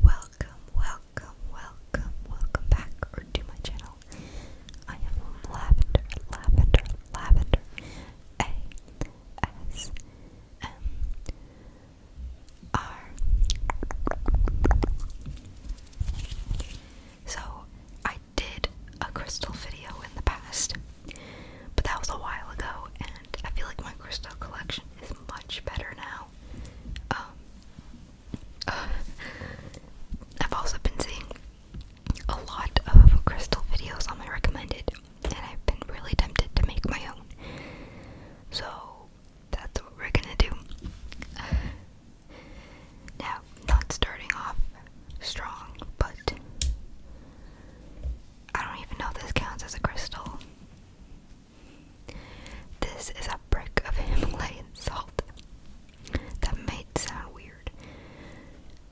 Welcome, welcome, welcome, welcome back to my channel. I am Lavender, Lavender, Lavender A S M R. So I did a crystal video in the past, but that was a while ago, I feel like my crystal collection is much better now. Um, I've also been seeing a lot of crystal videos on my recommended, and I've been really tempted to make my own. So that's what we're gonna do. Now, not starting off strong, but I don't even know if this counts as a crystal. This is a brick of Himalayan salt. That might sound weird.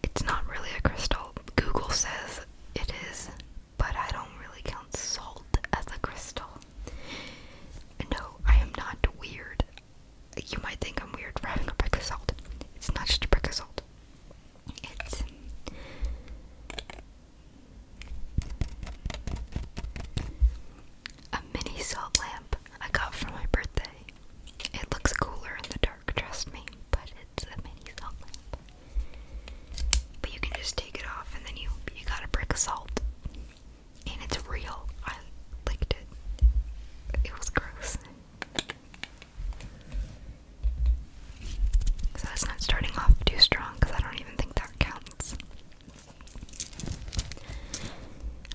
It's not really a crystal. Google says it is, but I don't really count salt as a crystal. No, I am not weird. You might think I'm weird having a brick of salt. It's not just a brick of salt. It's a mini salt lamp I got for my birthday. It looks cooler in the dark, trust me, but it's a mini salt lamp. But you can just take it off and then you you got a brick of salt. And it's real. I licked it. It was gross. So that's not starting off too strong because I don't even think that counts.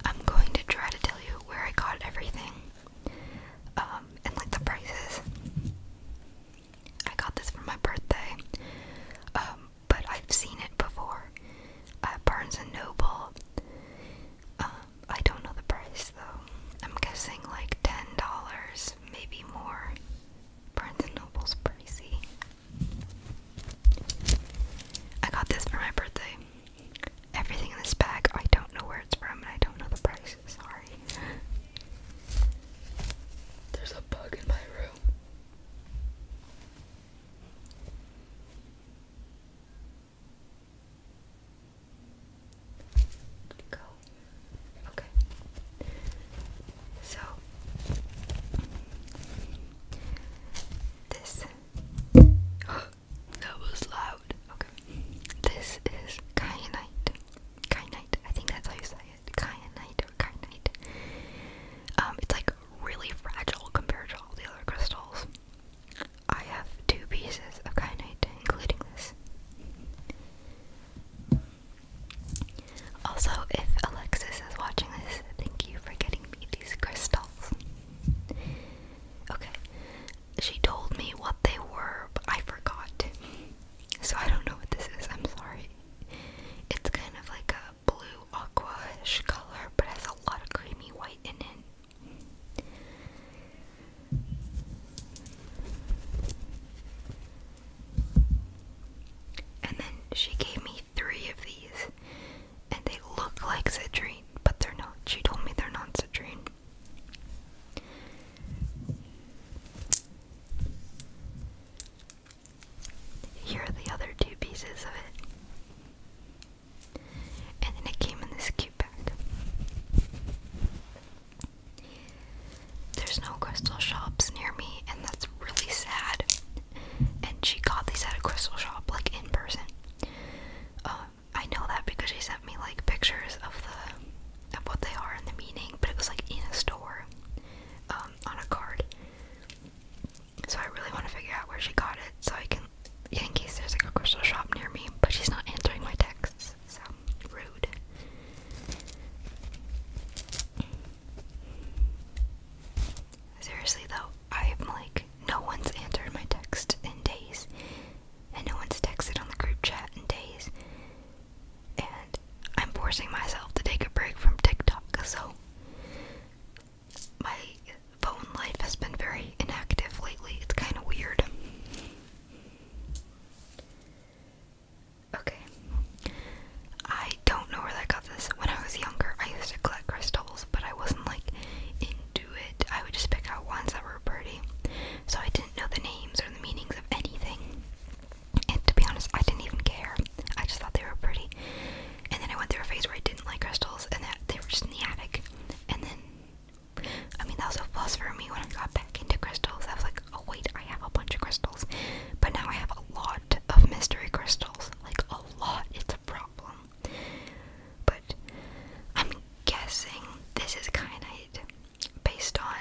I'm going to try to tell you where I got everything um, and like the prices. I got this for my birthday, um, but I've seen it before at Barnes and Noble. Um, I don't know the price though. I'm guessing like ten dollars, maybe more. Barnes & Noble's pricey. I got this for my birthday. Everything in this bag, I don't know where it's from and I don't know the price. Sorry. There's a bug in my room. Go Okay. So this that was loud. Okay. This is kyanite. Kyanite. I think that's how you say it. Kyanite or kyanite. Um, it's like really fragile compared to all the other crystals. I have two pieces of kyanite, including this. Also, if Alexis is watching this, thank you for getting me these crystals. Okay, she told me what they were, but I forgot. So I don't know what this is, I'm sorry. It's kind of like a blue aquaish color, but has a lot of creamy white in it. And then she gave me three of these, and they look like citrine, but they're not. She told me they're not citrine. Here are the other two pieces of it. And then it came in this cute bag. There's no crystal shops near me, and that's really sad. And she got these at a crystal shop, like in person. Um, I know that because she sent me like pictures of the of what they are and the meaning, but it was like in a store, um, on a card. So I really want to figure out where she got it, so I can, in case there's like a crystal shop near me. But she's not answering my texts, so rude. Seriously though, I'm like, no one's answered my text in days, and no one's texted on the group chat in days, and I'm forcing myself to take a break from TikTok, so my phone life has been very inactive lately. It's kind of weird. Okay. I don't know where that got this. When I was younger, I used to collect crystals, but I wasn't like into it. I would just pick out ones that were pretty. So I didn't know the names or the meanings of anything. And to be honest, I didn't even care. I just thought they were pretty. And then I went through a phase where I didn't like crystals and that they were just in the attic. And then I mean, that was a plus for me when I got back into crystals. I was like, oh wait, I have a bunch of crystals. But now I have a lot of mystery crystals. Like, a lot. It's a problem. But I'm guessing this is kyanite based on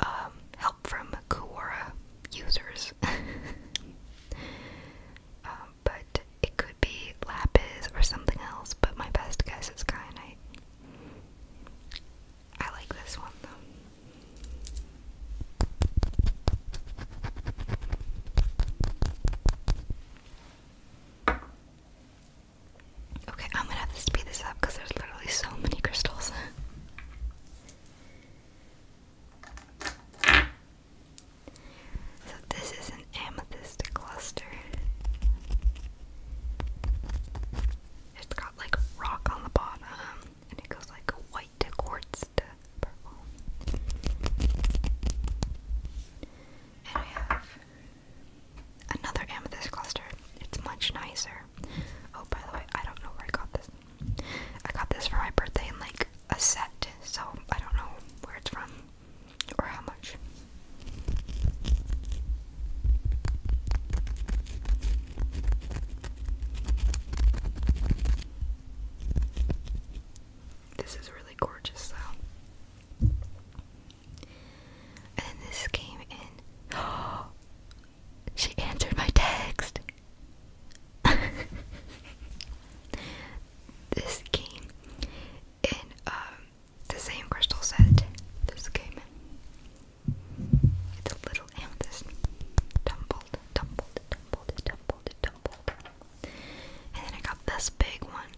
um, help from Kuwara users. Um, but it could be lapis or something else, but my best guess is kyanite. I like this one though. Okay, I'm gonna have to speed this up because there's literally so many crystals. so, this is an amethyst cluster. It's got like rock on the bottom and it goes like white to quartz to purple. And I have another amethyst cluster. It's much nicer. Oh, by the way, I don't know where I got this. I got this for my birthday in like a set, so I don't know where it's from or how much. This is really gorgeous, though. And this came in. she answered my text. this came in um, the same crystal set this came It's a little amethyst. Tumbled, tumbled, tumbled, tumbled, tumbled. And then I got this big one.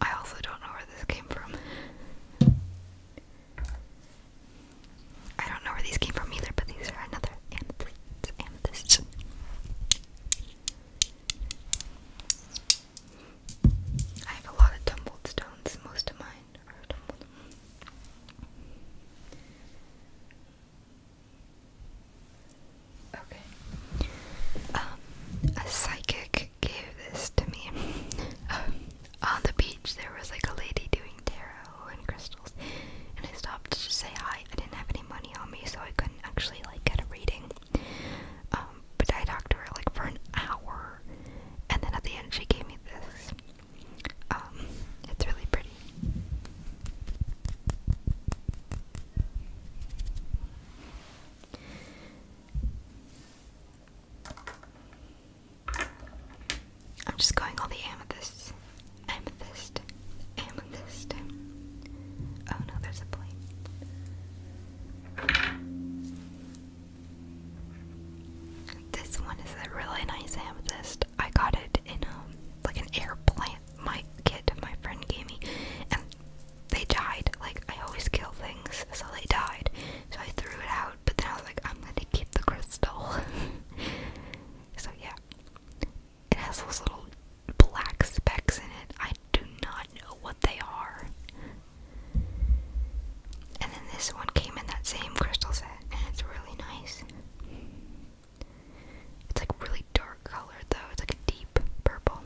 I also don't know where this came from. I don't know where these came from either, but these are another amethyst. Amethyst. I have a lot of tumbled stones. Most of mine are tumbled. Okay. Um, a psychic gave this to me. Um, on the beach, there was like a lady doing tarot and crystals, and I stopped to say hi. I didn't have any money on me, so I couldn't actually like get a reading. Um, but I talked to her like for an hour, and then at the end she gave me this. Um, it's really pretty. I'm just going all the amethysts. Amethyst. Amethyst. Oh no, there's a plane. This one is a really nice amethyst. I got it in um like an air plant. My kid, my friend gave me, and they died. Like I always kill things, so they died. So I threw it out. But then I was like, I'm going to keep the crystal. so yeah, it has those little black specks in it. I I do not know what they are. And then this one came in that same crystal set, and it's really nice. It's like really dark colored though, it's like a deep purple.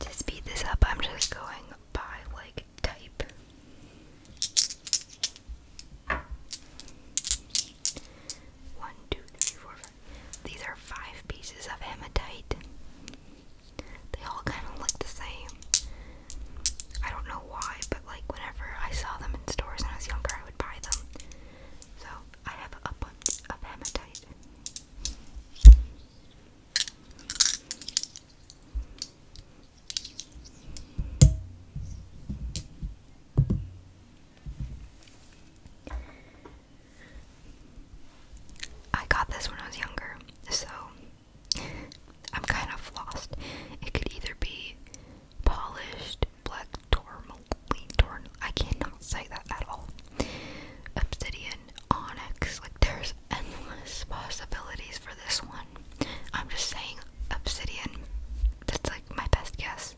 To speed this up, I'm just going by like type. One, two, three, four, five. These are five pieces of hematite. They all kind of look the same. I don't know why, but like whenever I saw them in stores when I was younger, I would buy them. So I have a bunch of hematite. I got this when I was younger, so I'm kind of lost. It could either be polished black tourmaline, torn. I cannot say that at all. Obsidian, onyx. Like there's endless possibilities for this one. I'm just saying obsidian. That's like my best guess.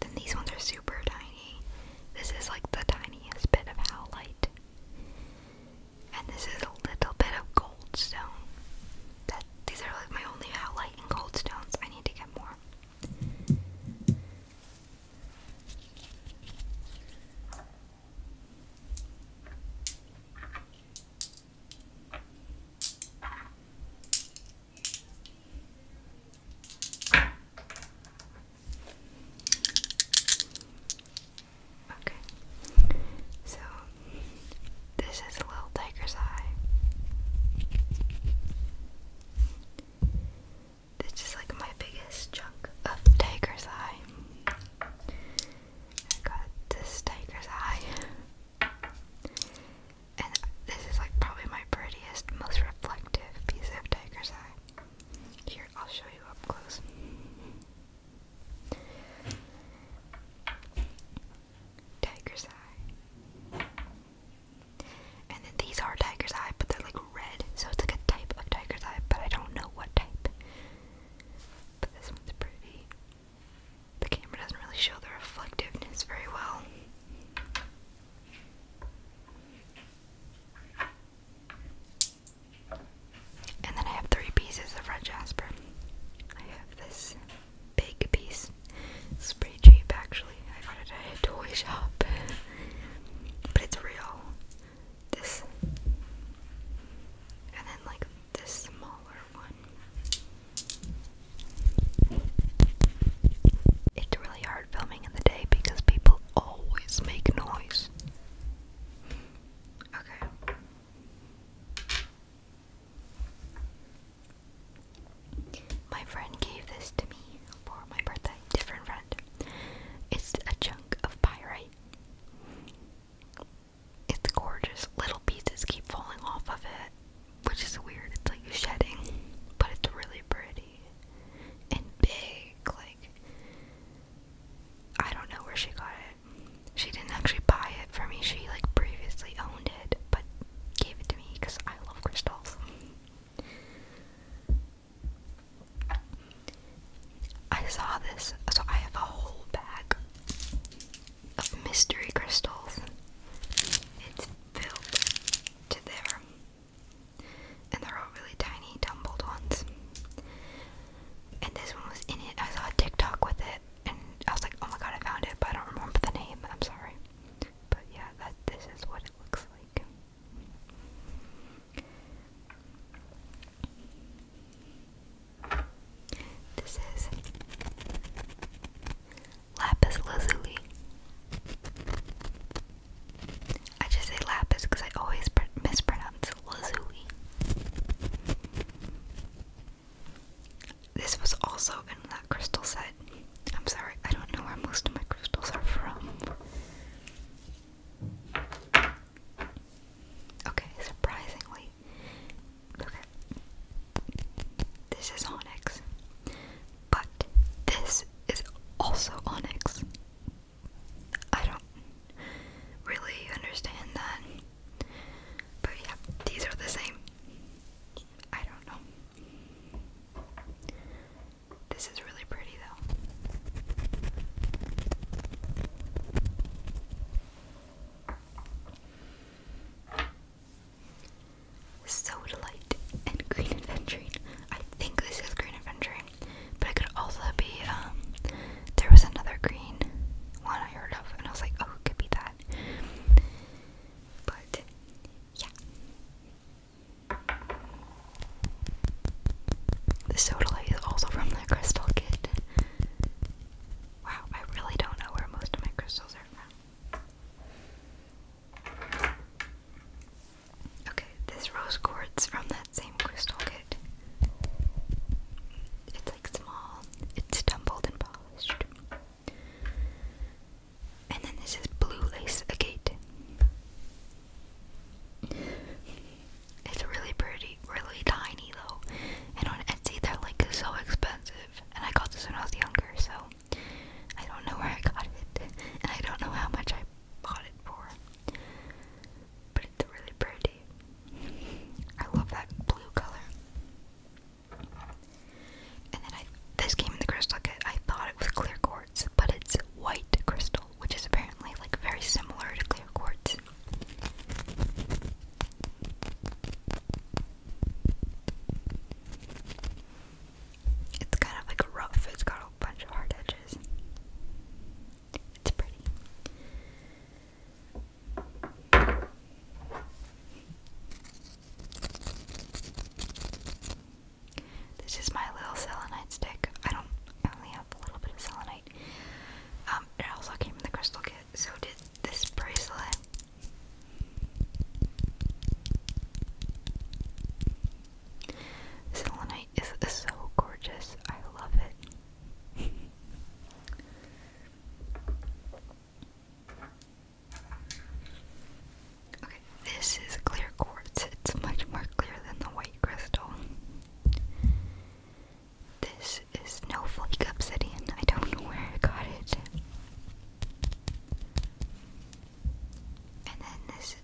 Then these ones are super tiny. This is like the tiniest bit of howlite. And this is a little bit of goldstone. That these are like my only outlight in goldstones. I need to get more. Okay. So this is a little tiger's eye. This is like my biggest chunk of tiger's eye. I got this tiger's eye. And this is like probably my prettiest, most reflective piece of tiger's eye. Here, I'll show you up close. Tiger's eye. And then these are tiger's eye, but they're like red, so it's like a type of tiger's eye, but I don't know what type. But this one's pretty. The camera doesn't really show the reflectiveness very well. And then I have three pieces of red jasper. I have this big piece. It's pretty cheap actually. I got it at a toy shop. but it's real. This. And then like this smaller one. It's really hard filming in the day because people always make noise. Okay. My friend gave this to me for my birthday. Different friend. It's a chunk of pyrite. It's gorgeous. Little pieces keep falling off of it, which is weird. It's like shedding, but it's really pretty and big. Like, I don't know where she got it. She didn't actually buy it for me. She like previously owned it, but gave it to me because I love crystals. I saw this, so I have a whole bag of mystery crystals. It's filled to there, and they're all really tiny, tumbled ones and this one was in it. I saw a TikTok with it, and I was like, oh my god, I found it, but I don't remember the name. I'm sorry, but yeah, this is what it looks like. This is lapis lazuli. I just say lapis because I always mispronounce Lazuli. This was also in that crystal set. I'm sorry, I don't know where most of my crystals are from. Okay, surprisingly. Okay. This is onyx. But this is also onyx. I don't really understand that. But yeah, these are the same. I don't know. This is really pretty though. Soda Light and Green Adventuring. I think this is Green Adventuring but it could also be um, there was another green one I heard of and I was like, oh it could be that. But yeah. The soda light is also from the crystal kit. Wow, I really don't know where most of my crystals are from. Okay, this rose quartz from that same crystal kit. It's like small, it's tumbled and polished. And then this is blue lace agate. It's really pretty, really tiny though. And on Etsy that are like so expensive. And I got this when I was younger, so I don't know where I got it. And I don't know how much I bought it for. But it's really pretty. I love that blue color. And then this came in the crystal kit. I thought it was clear quartz, but it's white crystal, which is apparently like very similar to clear quartz. It's kind of like rough. It's got a bunch of hard edges. It's pretty. This is my little selenite stick. I don't only have a little bit of selenite. Um, it also came in the crystal kit, so did this bracelet. Selenite is so gorgeous. I love it okay, this is clear quartz. It's much more clear than the white crystal. This is no snowflake obsidian. I don't know where I got it. And then this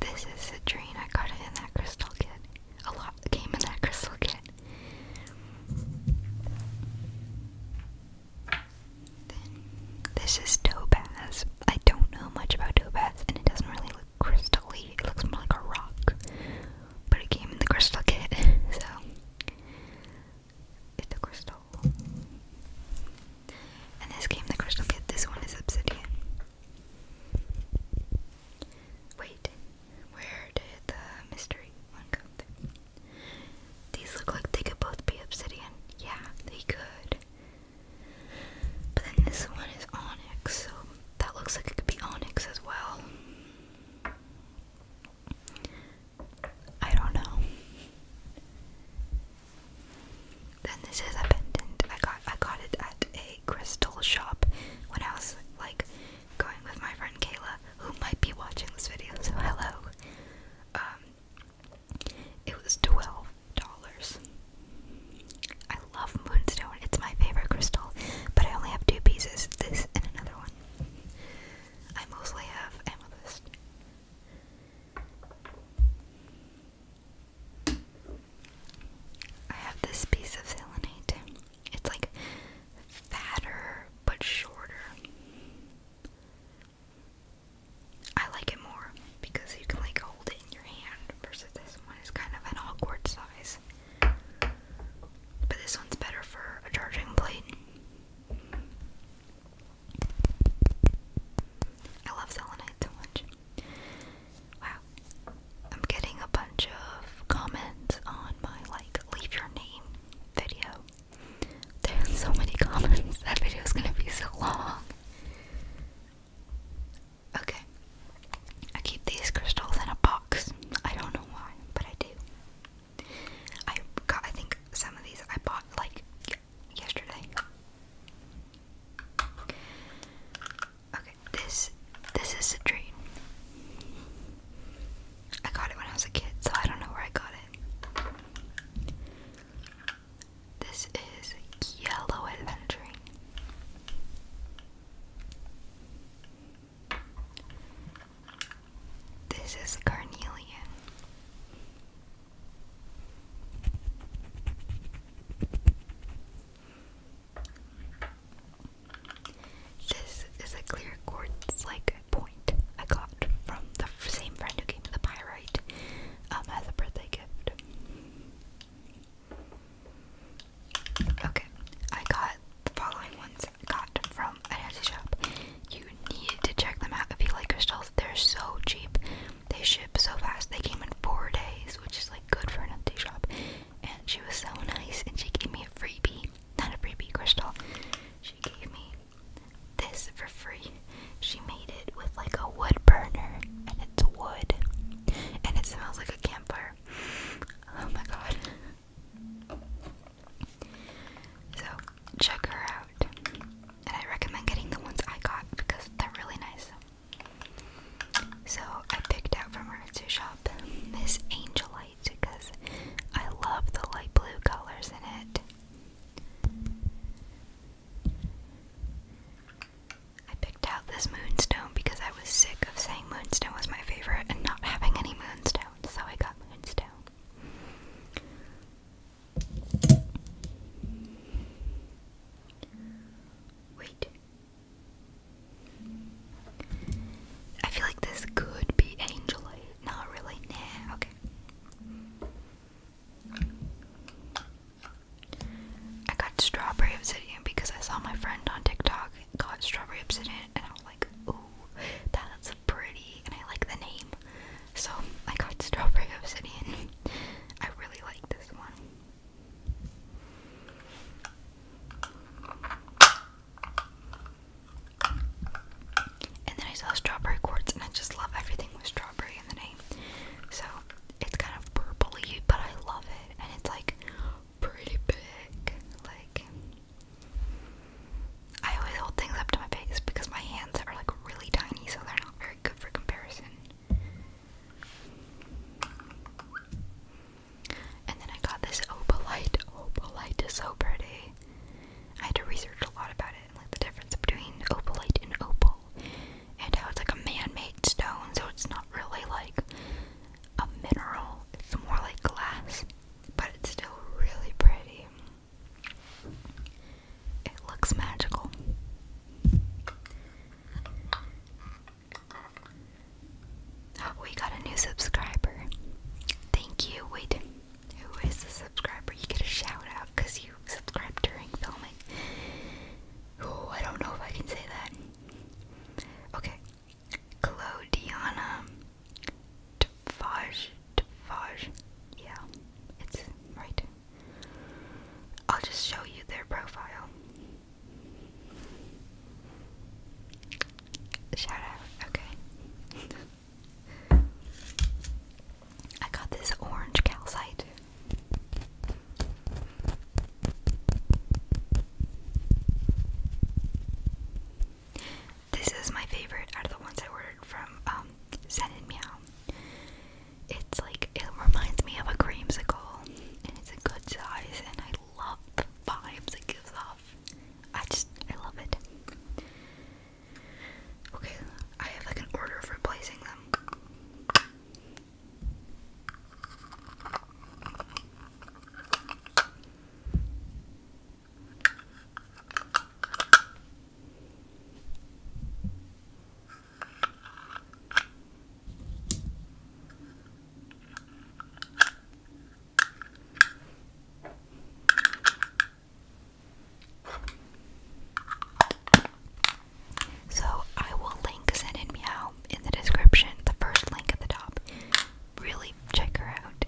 this is citrine. I got it in that crystal kit a lot came in that crystal kit. this is topaz. I don't know much about topaz, and it doesn't really look crystally. It looks more like a rock, but it came in the crystal kit, so it's a crystal. And this came in the crystal kit. This one is obsidian. Wait, where did the mystery one come from? These look like they could both be obsidian. Yeah, they could. But then this one is onyx, so that looks like it could be onyx as well. I don't know. Then this is a pendant. I got I got it at a crystal shop when I was like going with my friend Kayla, who might be watching this video, so hello. Um, it was twelve dollars. I love moonstone; it's my favorite crystal, but I only have two pieces: this and another one. I mostly have amethyst. I have this piece of selenite. It's like fatter but shorter. I like it more because you can like hold it in your hand versus this one is kind of an awkward size. But this one's better for a charging plate. I love selenite so much. Wow. I'm getting a bunch of comments on my like leave your name video. There's so many comments. That video is gonna be so long. Okay. I keep these crystals in a box. I don't know why, but I do. I got I think some of these I bought like yesterday. Okay, this this is a dream. I got it when I was a kid, so I don't know where I got it. This is yellow adventuring. This is carnelian. This is a clear quartz-like point I got from the same friend who gave me the pyrite um, as a birthday gift. Okay, I got the following ones I got from an Etsy shop. You need to check them out if you like crystals. They're so cheap. They ship so fast. They came in four days, which is like good for an empty shop. And she was so nice, and she gave me a freebie. Not a freebie, crystal. She gave me this for free. She made it with like a wood burner, and it's wood, and it smells like a campfire. Oh my god. So, check her out. And I recommend getting the ones I got because they're really nice. So I picked out from our etsy shop this angelite because I love the light blue colors in it. I picked out this moonstone because I was sick of saying moonstone was my favorite and not having any moonstones, so I got moonstone. Wait, I feel like this could be angel Not really. Nah, okay. I got strawberry obsidian because I saw my friend on TikTok got strawberry obsidian and I was like, ooh, that's pretty and I like the name. So I got strawberry obsidian. I really like this one. And then I saw strawberry quartz, and I just love everything with strawberry in the name. So it's kind of purpley, but I love it, and it's like pretty big. Like I always hold things up to my face because my hands are like really tiny, so they're not very good for comparison. And then I got this opalite. Opalite is so pretty. I had to research a lot about it and like the difference between opalite and opal and how it's like a man-made stone, so it's not really like a mineral. It's more like glass, but it's still really pretty. It looks magical. We got a new subscriber. Thank you. Wait, who is the subscriber? You get a shout out because you subscribed during filming. Oh, I don't know if I can say that. Okay. Claudiana Tfaj. Tfaj. Yeah, it's right. I'll just show you their profile. Shout out, okay. I got this orange calcite. This is my favorite out of the ones I ordered from um, it's like it reminds me of a creamsicle, and it's a good size, and I love the vibes it gives off. I just I love it. Okay, I have like an order for placing them. So I will link Zen and Meow in the description, the first link at the top. Really check her out.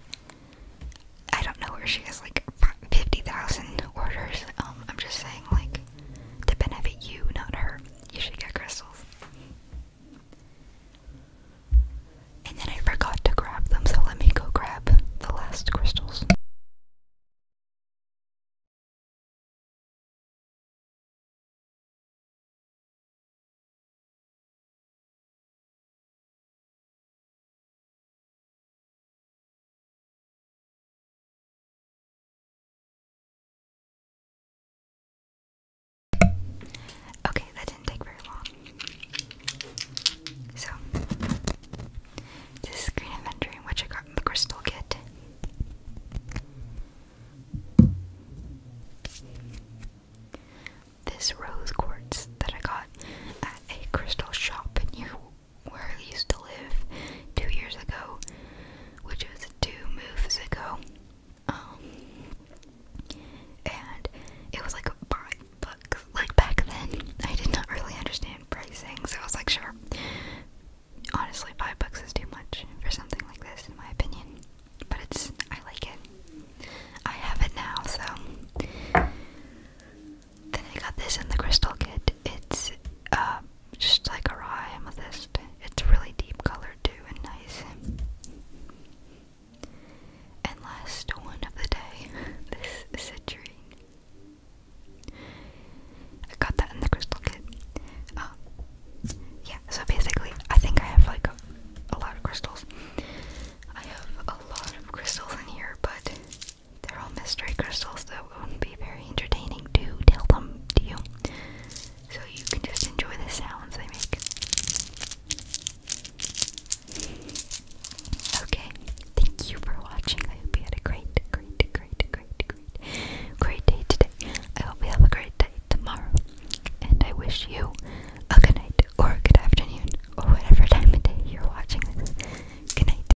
I don't know where she has like 50,000 orders. Um, I'm just saying, like, to benefit you, not her. You should get crystals. And then I forgot to grab them, so let me go grab the last crystals. Okay, that didn't take very long. So, this Green Inventory, which I got in the Crystal Kit. This rose quartz that I got at a crystal shop near where I used to live two years ago, which was two moves ago. Um, and it was like five bucks. Like back then, I did not really understand pricing, so I was like, sure. Honestly, five bucks is too much for something like this, in my opinion. But it's, I like it. I have it now, so. Then I got this in the crystal kit. It's uh, just like a raw amethyst. It's really deep color too and nice. And last one of the day, this citrine. I got that in the crystal kit. Um, yeah, so basically, I think I have like a lot of crystals. I have a lot of crystals in here, but they're all mystery crystals that wouldn't be very entertaining to tell them to you. So you can just enjoy the sounds they make. Okay, thank you for watching. I hope you had a great, great, great, great, great, great day today. I hope you have a great day tomorrow. And I wish you a good night or a good afternoon or whatever time of day you're watching this. Good night.